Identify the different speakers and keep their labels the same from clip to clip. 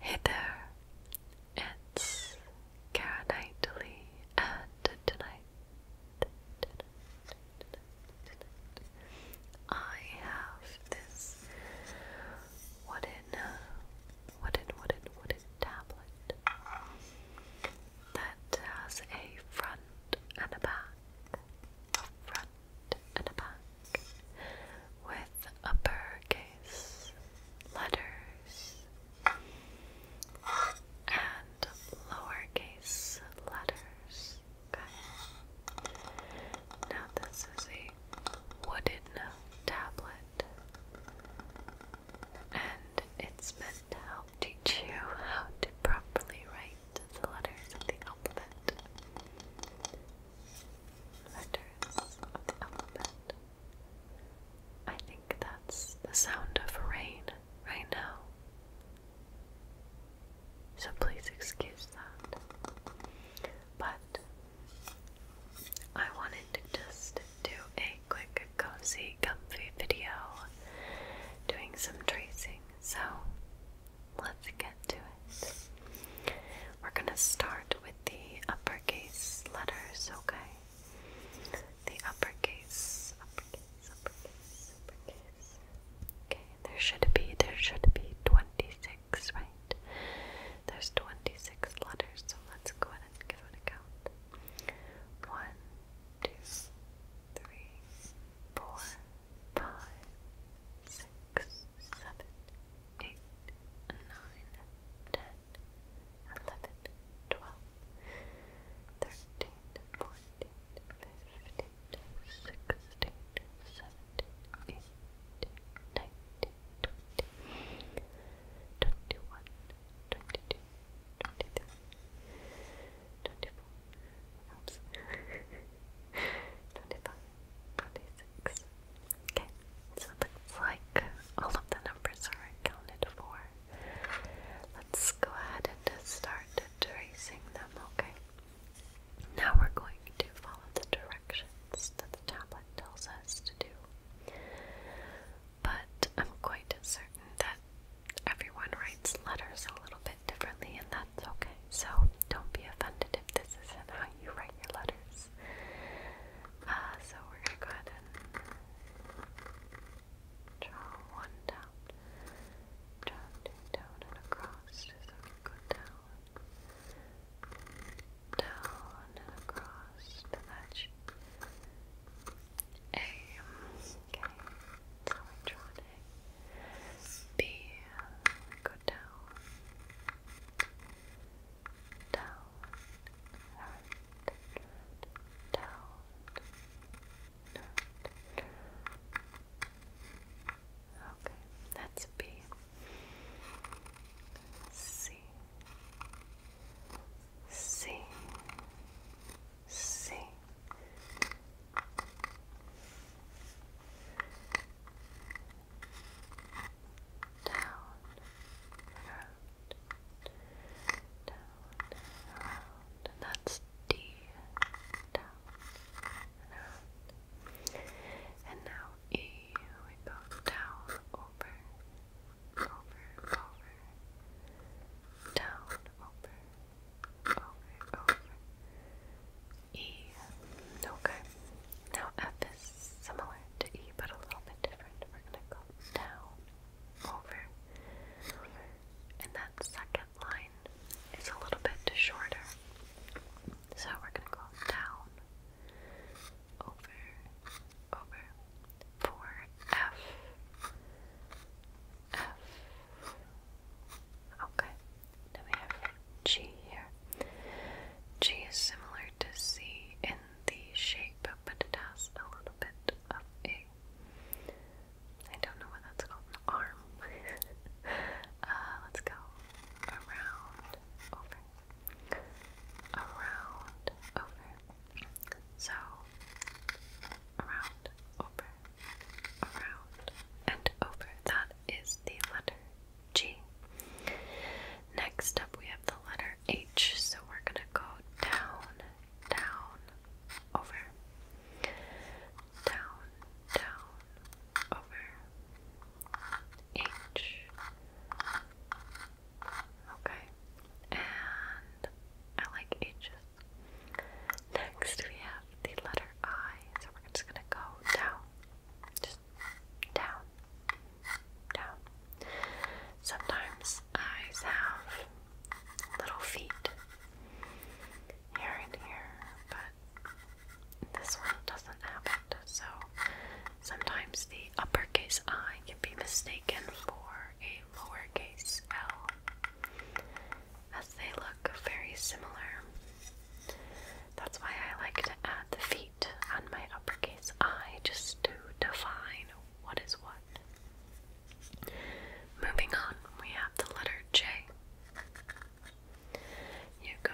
Speaker 1: Hey and it's Cara and tonight, I have this wooden, wooden, wooden, wooden tablet that has a front and a back, and a back with uppercase letters and lowercase letters. Now this is a wooden tablet and it's meant to help teach you how to properly write the letters of the alphabet. Letters of the alphabet. I think that's the sound of rain right now. So please excuse that. But I wanted to just do a quick, cozy, comfy video doing some tracing. So let's get to it. We're going to start with the uppercase letters, okay? The uppercase, uppercase, uppercase, uppercase. Okay, there should be, there should be 26, right? There's 26 letters, so let's go ahead and give it a count. One, two, three, four, five, six, seven, eight, nine, ten, eleven, twelve, thirteen, fourteen, fifteen, sixteen, seventeen, eighteen, nineteen, twenty, twenty-one, twenty-two, twenty-three, twenty-four, oops, twenty-five. 46. Okay, so it looks like all of the numbers are accounted for. Let's go ahead and start tracing them, okay? Now we're going to follow the directions that the tablet tells us to do. But I'm quite certain that everyone writes letters a little bit differently, and that that's okay. So don't be offended if this isn't how you write your letters. Uh, so we're gonna go ahead and draw one down, draw two down and across. So we go down, down and across to that A. Okay, so go down, down, right, down, Okay, that's B. C. C. C down, down, around, and that's D, down, around. And now E, we go down, over, over, over, down, over, over, over, E. Okay. Now F is similar to E, but a little bit different. We're gonna go down, over, and that second line is a little bit shorter. So we're gonna go down, over, over. For F, F. Okay we have G here. G is similar to C in the shape, but it has a little bit of a. I don't know what that's called, arm. Uh, let's go around, over, around, over. So, around, over, around, and over. That is the letter G. Next up, we have the letter H, so we're going to go down, down, over. Down, down, over. H. Okay. And I like H's. Next, we have the letter I, so we're just going to go down down, down. Sometimes eyes have little feet here and here, but this one doesn't have it. So sometimes the uppercase I can be mistaken for a lowercase L, as they look very similar. That's why I like to add the feet weight my uppercase I just to define what is what. Moving on, we have the letter J. You go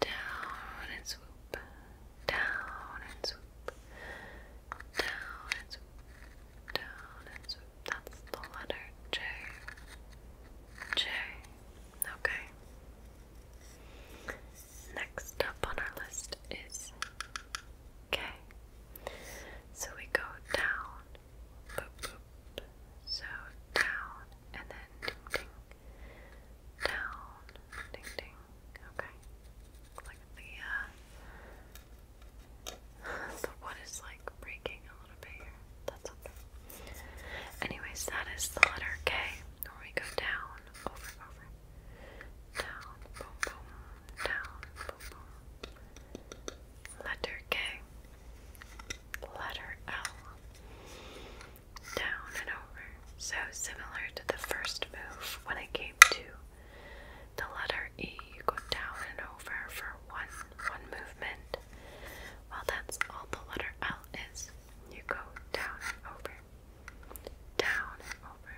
Speaker 1: down and swoop, down and swoop, down and swoop, down and swoop. That's the letter J. J. Okay. Next up on our list is K. So we go down, so down, and then ding ding, down, ding ding, okay. Like uh, the, wood is like breaking a little bit here, that's okay. Anyways, that is the letter K, we go down, over, over, down, boom, boom, down, boom, boom. Letter K, letter L, down and over. So similar to the first move when it came to the letter E, you go down and over for one one movement. Well, that's all the letter L is. You go down and over down and over,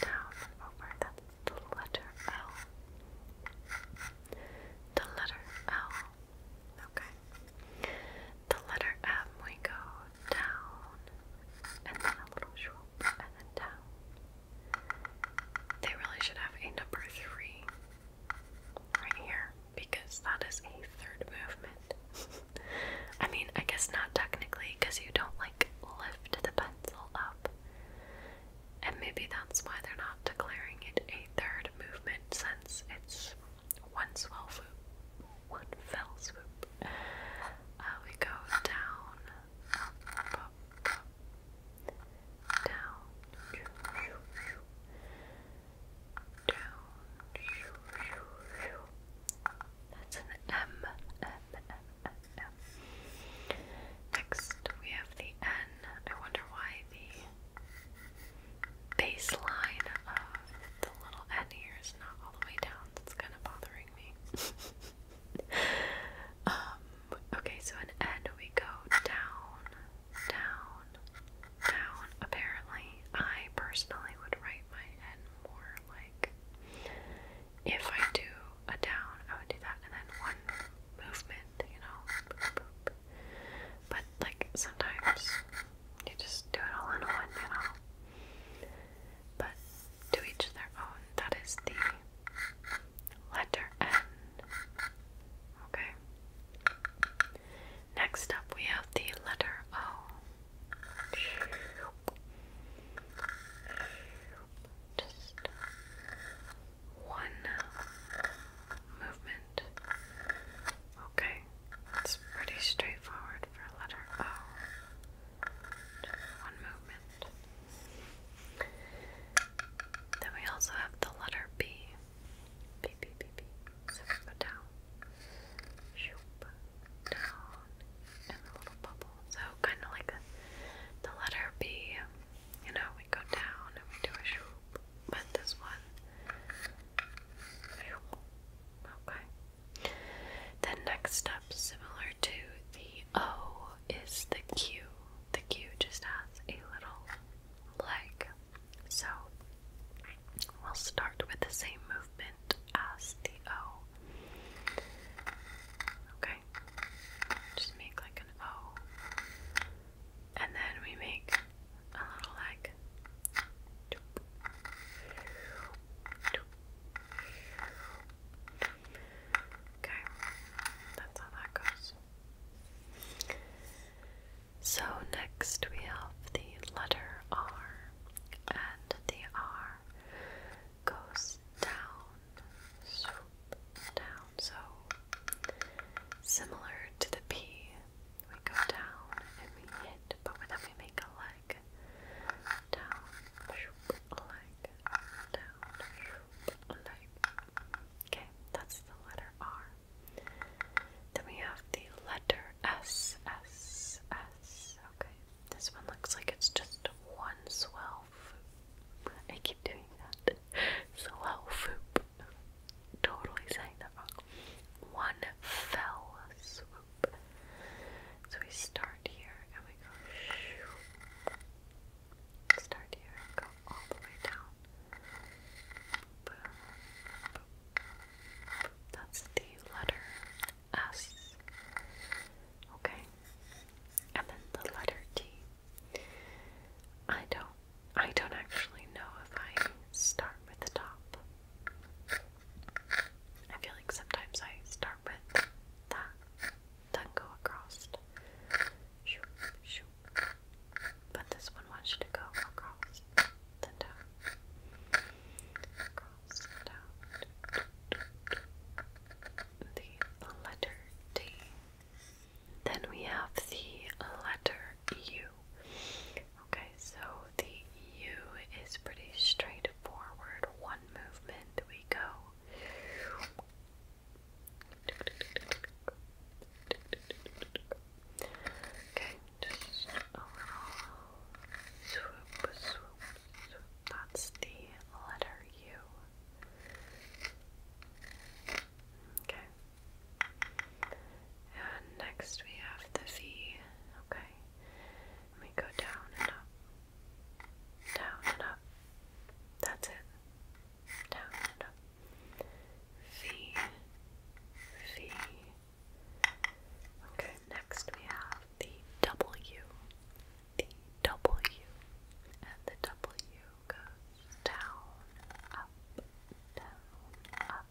Speaker 1: down and over. That's the letter L. The letter L. Okay. The letter M, we go down, and then a little swoop, and down. They really should have a number three right here because that is a third movement. I mean, I guess not technically, because you don't like lift the pencil up. And maybe that's why they're not declaring it a third movement since it's one swell swoop, one fell swoop. Uh, we go down, down, down. That's an M, Next, we have the N. I wonder why the baseline of the little N here is not all the way down. That's kind of bothering me. Um, okay, so an N we go down, down, down. Apparently, I personally would write my N more like if I do a down, I would do that and then one movement, you know. But like sometimes you just do it all in one, you know. But to each their own, that is the letter N. Okay. Next up, we have the letter O. Just one movement. Okay, it's pretty straightforward for a letter O. Just one movement. Then we also have the letter B. B, B, B, B. Zip down. Shoop. Down. And a little bubble. So kind of like the letter B. You know, we go down and we do a shoop. But this one. Okay. Then next step, similar to the O, is the Q. The Q just has a little leg. So we'll start with the same movement as the O. Okay, just make like an O, and then we make a little like. Okay, that's how that goes. So next we have the letter R and the R goes down, swoop down. So similar to the P, we go down and we hit, but then we make a leg down, swoop, leg down, swoop, leg. Okay, that's the letter R. Then we have the letter S, S, S. Okay, this one looks like it's just one swell I keep doing that. Swell Totally saying that wrong. One fell swoop. So we start here and we go Start here go all the way down. That's the letter S. Okay. And then the letter T. I don't I don't actually know if I start with the top. I feel like sometimes I start with that, then go across. But this one wants you to go across, then down sound the letter T. Then we have the letter U. Okay, so the U is pretty straightforward. One movement, we go. Okay, that's the letter U. Okay. And next we have the V. Okay. And we go down and up. Down and up. That's it. Down and up. V. V. Okay, next we have the W. The W. And the W goes down, up, down, up.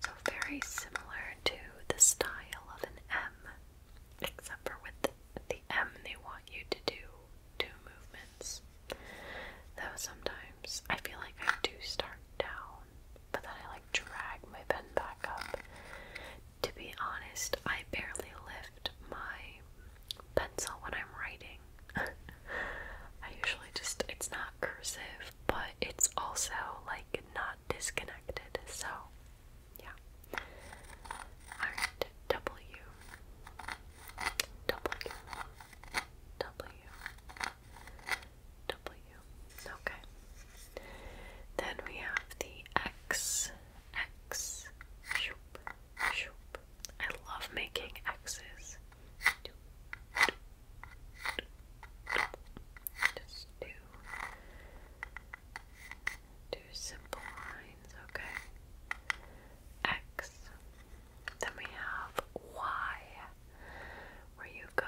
Speaker 1: So very similar to the style of an M, except for with the M they want you to do two movements. Though sometimes I feel like I do start down but then I like drag my pen back up. To be honest, I barely lift my pencil when I'm writing. I usually just, it's not cursive, but it's also like not disconnected, so yeah. Alright, W. W. W. W. Okay. Then we have the X. I love making X's. Just do do simple lines, okay? X. Then we have Y, where you go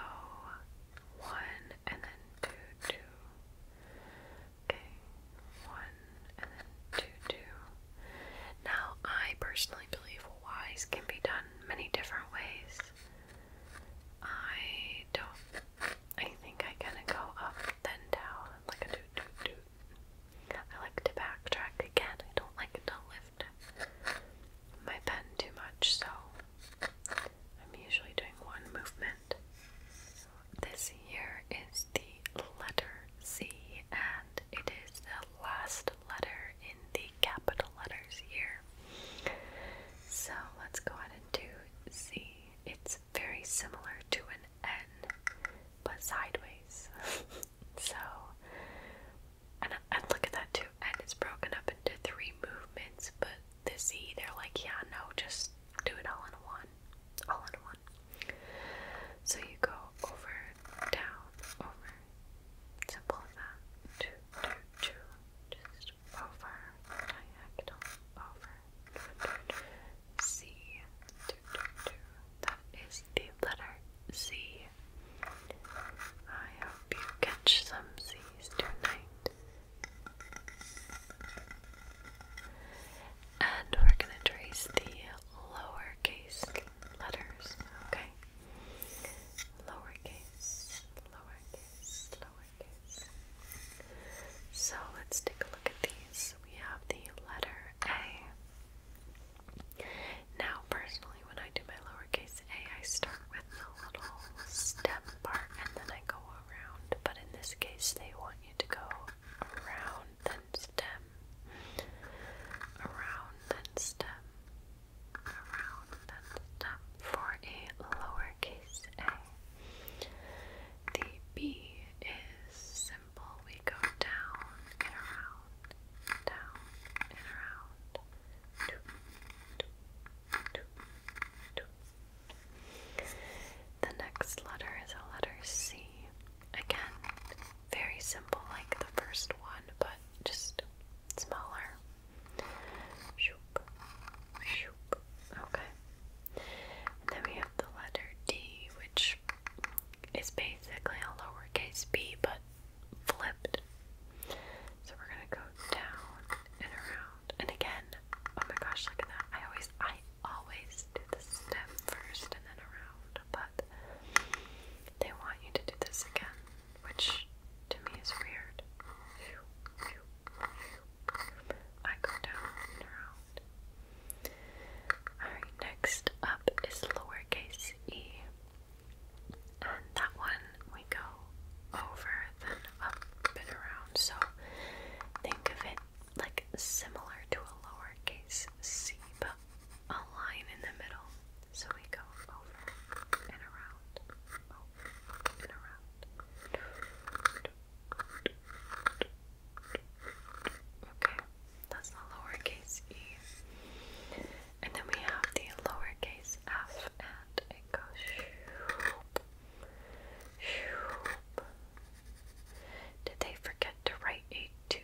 Speaker 1: one and then two, two. Okay, one and then two, two. Now, I personally believe Y's can be done many different ways. I don't. I think I kind of go up then down like a do do do. I like to backtrack again. I don't like to lift my pen too much, so I'm usually doing one movement and this here is the letter C, and it is the last letter in the capital letters here. So let's go ahead and do C. It's very similar to an N, but sideways. so, and look at that too. N is broken up into three movements, but the Z, they're like, yeah, no, just do it all in one. All in one. So you go over, down, over. Simple as that. Two, two, two. Just over, diagonal, over. Z, two, two, two. That is the letter Z. I hope you catch some Z's tonight. And we're going to trace the lowercase letters, okay? Lowercase, lowercase, lowercase. So let's take a look at these. We have the letter A. Now, personally, when I do my lowercase a, I start with the little stem part and then I go around, but in this case, they want you to go around, then stem, around, then stem, around, then stem for a lowercase a. The B is simple, we go down and around, down and around. Doop, doop, doop, doop, the next letter is a letter C. Again, very simple like the first one, but just smaller. Okay. And then we have the letter D, which is basically a lowercase b, but flipped. So we're going to go down and around. And again, oh my gosh, look at that. I always, I always do the step first and then around, but they want you to do this again, which to me is weird. I go down and around. Alright, next up is lowercase e. And that one we go over, then up and around sound. So think of it like similar to a lowercase c, but a line in the middle. So we go over and around, over and around. Okay, that's the lowercase e. And then we have the lowercase f, and it goes did they forget to write a 2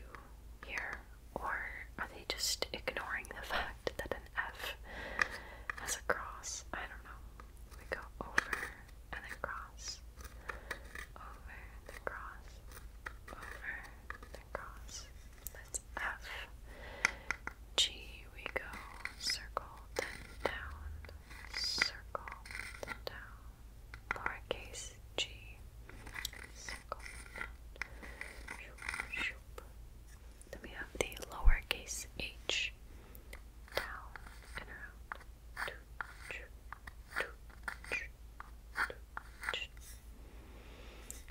Speaker 1: here, or are they just ignoring the fact that an F has a cross? I don't know. We go over and then cross, over and then cross, over and then cross. That's F. G, we go circle, then down, circle down, lowercase g, circle Then we have the lowercase h, down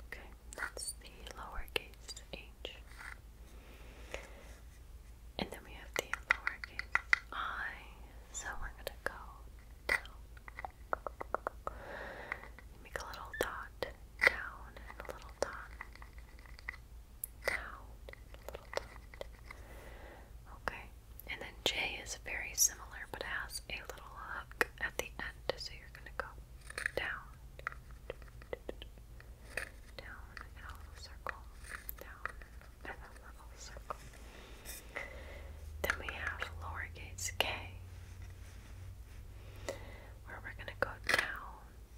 Speaker 1: Okay, that's the lowercase h. And then we have the lowercase i. So we're going to go down. Make a little dot down and a little dot down little dot. Okay. And then J is very similar but has a little hook at the end. So you're going to go down. Then we have lowercase k, where we're going to go down.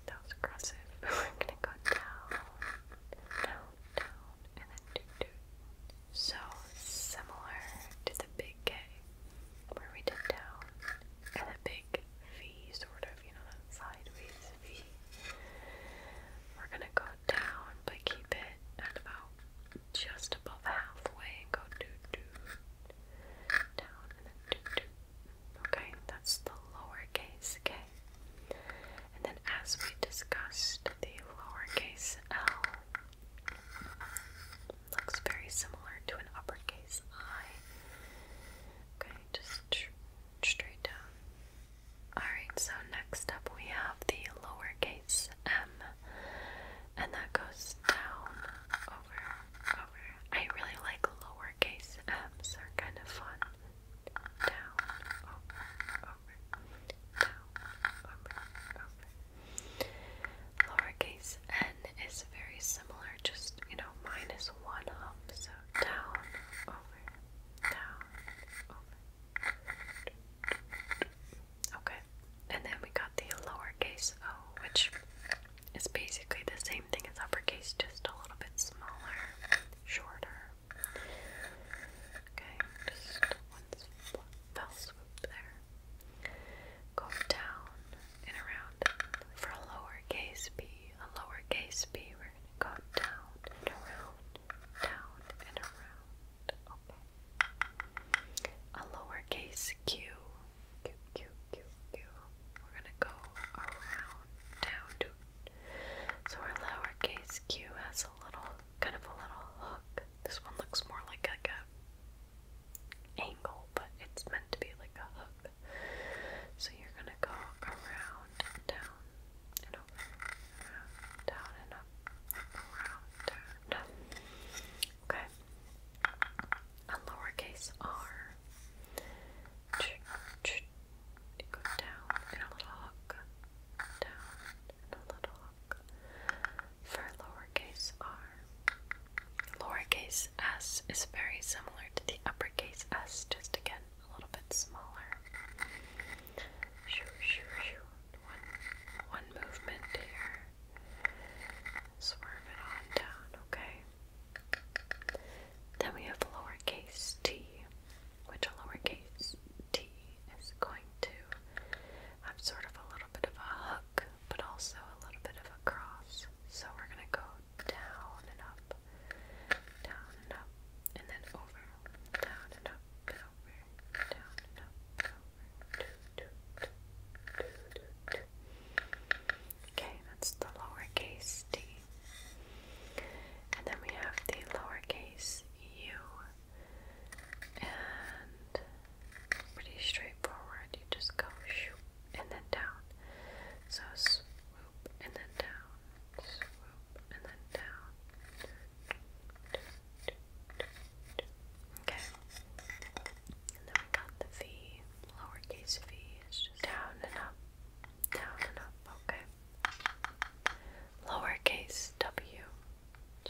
Speaker 1: That was aggressive. We're going to go down, down, down, and then do, do. So similar to the big K, where we did down, and the big V, sort of, you know, sideways we're gonna go down, but keep it at about just above halfway. Go doot doot down and then doot doot. Okay, that's the lowercase k. And then, as we discussed, the lowercase l looks very similar to an uppercase i. Okay, just straight down. Alright, so next up we have the lowercase m, and that goes down over over. I really like lowercase m's, are kind of fun. Down, over, over, down, over, over. Lowercase n is very similar, just you know, minus one up, so down, over, down, over, Okay, and then we got the lowercase o, which is basically the same thing as uppercase, just a little bit smaller, shorter. Okay, just one fell swoop there. Go down and around for a lowercase b, a lowercase b over and go down and around, down and around. Okay. A lowercase q. Q, Q, Q, Q. We're gonna go around, down, So our lowercase q has a little, kind of a little hook. This one looks more like like a angle, but it's meant to be like a hook. So you're gonna go around, down, up, down and up, around, down, up. Okay. A lowercase r. Ch -ch down and a little hook. Down and a little hook. For lowercase r. Lowercase s is very similar to the uppercase s, just again a little bit smaller. One, one movement here. Swerve it on down, okay? Then we have lowercase t, which lowercase t is going to have sort of a little bit of a hook, but also a little bit of a cross. So we're going to go down and up, down and up, and then over, down and up, and over, down and up, and over. Do, do, do, do, do. Okay, that's the lowercase d. And then we have the lowercase u. And pretty straightforward. You just go shoop and then down. So swoop and then down and then down. Okay. And then we got the V, lowercase v, it's just down and up, down and up, okay. Lowercase w.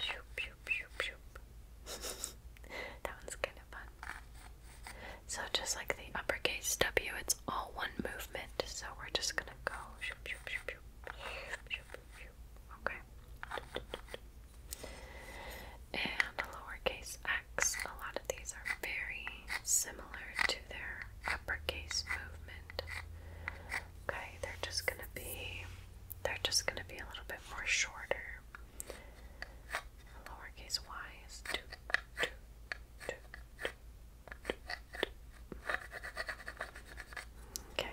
Speaker 1: Shoop, shoop, shoop, shoop. that one's kind of fun. So, just like the uppercase w, it's all one movement, so we're just gonna go shoop, shoop, shoop, Okay. And lowercase x. A lot of these are very similar to their uppercase movement. Okay, they're just gonna be they're just gonna be a little bit more shorter. Lowercase y is Okay.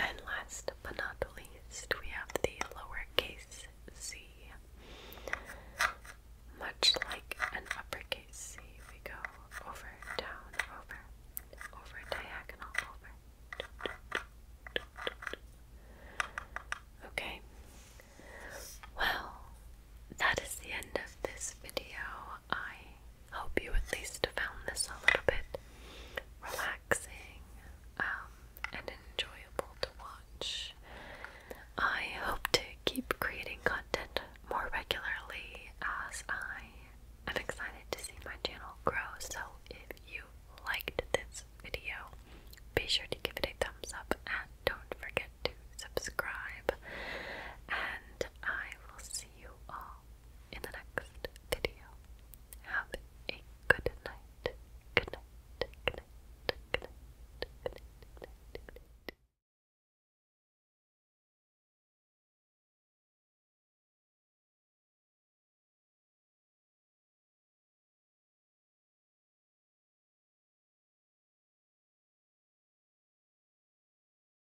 Speaker 1: And last but not least, we have the lowercase c. Much like an uppercase c, we go over, down, over, over, diagonal, over. Okay. Well, that is the end of this video. I hope you at least found this a little bit relaxing um, and enjoyable to watch. I hope to keep creating content more regularly as I am excited to see my channel grow. So, if you liked this video, be sure to give it a thumbs up and don't forget to subscribe. And I will see you all in the next video. Have a good night. Good night. Good night. Good night. Good night. Good night. Good night. Good night.